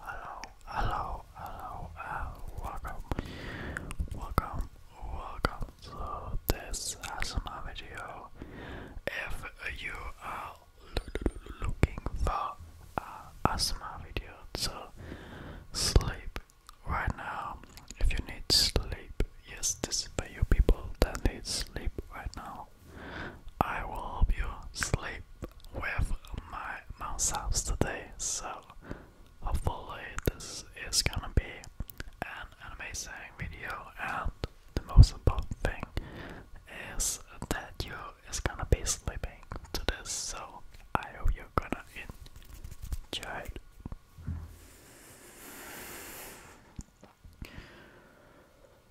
Hello, hello, hello, uh, welcome, welcome, welcome to this ASMR video. If you are looking for a ASMR video to sleep right now, if you need sleep, yes, this is for you people that need sleep right now. I will help you sleep with my mouse house today, so hopefully this is gonna be an amazing video and the most important thing is that you is gonna be sleeping to this so I hope you're gonna enjoy it.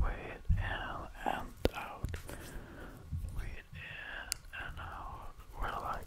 Wait in and out. Wait in and out. Relax.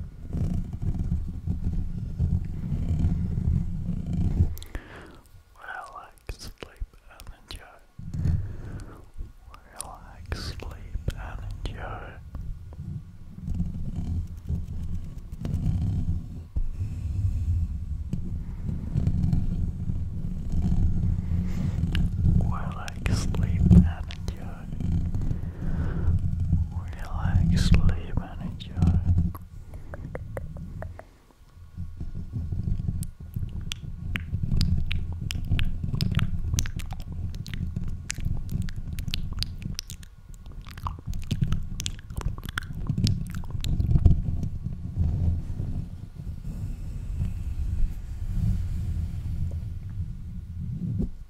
Where I like sleep and enjoy. Where I like sleep and enjoy. Where I like sleep and enjoy enjoy. Relax, sleep, and enjoy.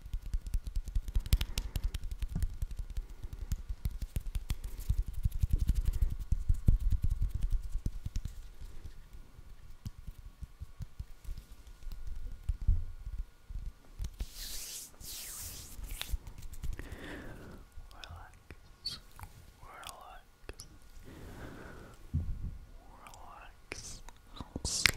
Relax, relax, relax, sleep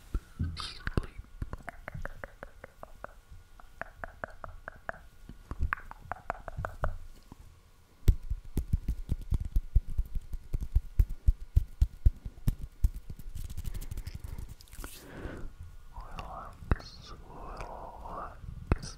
sleep. Relax, relax.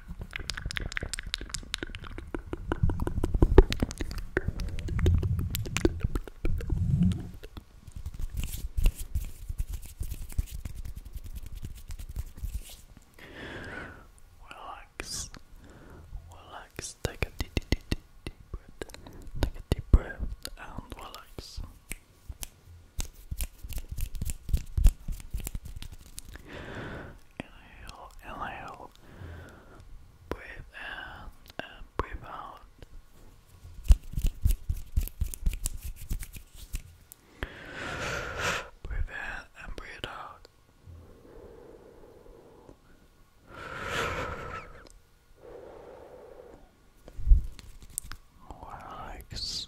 Relax, relax, take a deep, deep, deep, breath, take a deep breath and relax inhale, inhale, breathe in and breathe out. Breathe in and breathe out. Relax.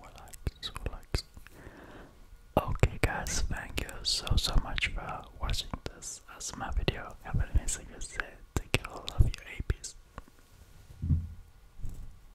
Relax, relax. Okay, guys, thank you so so much for watching this as video. Have a nice day. Take care, I love apes.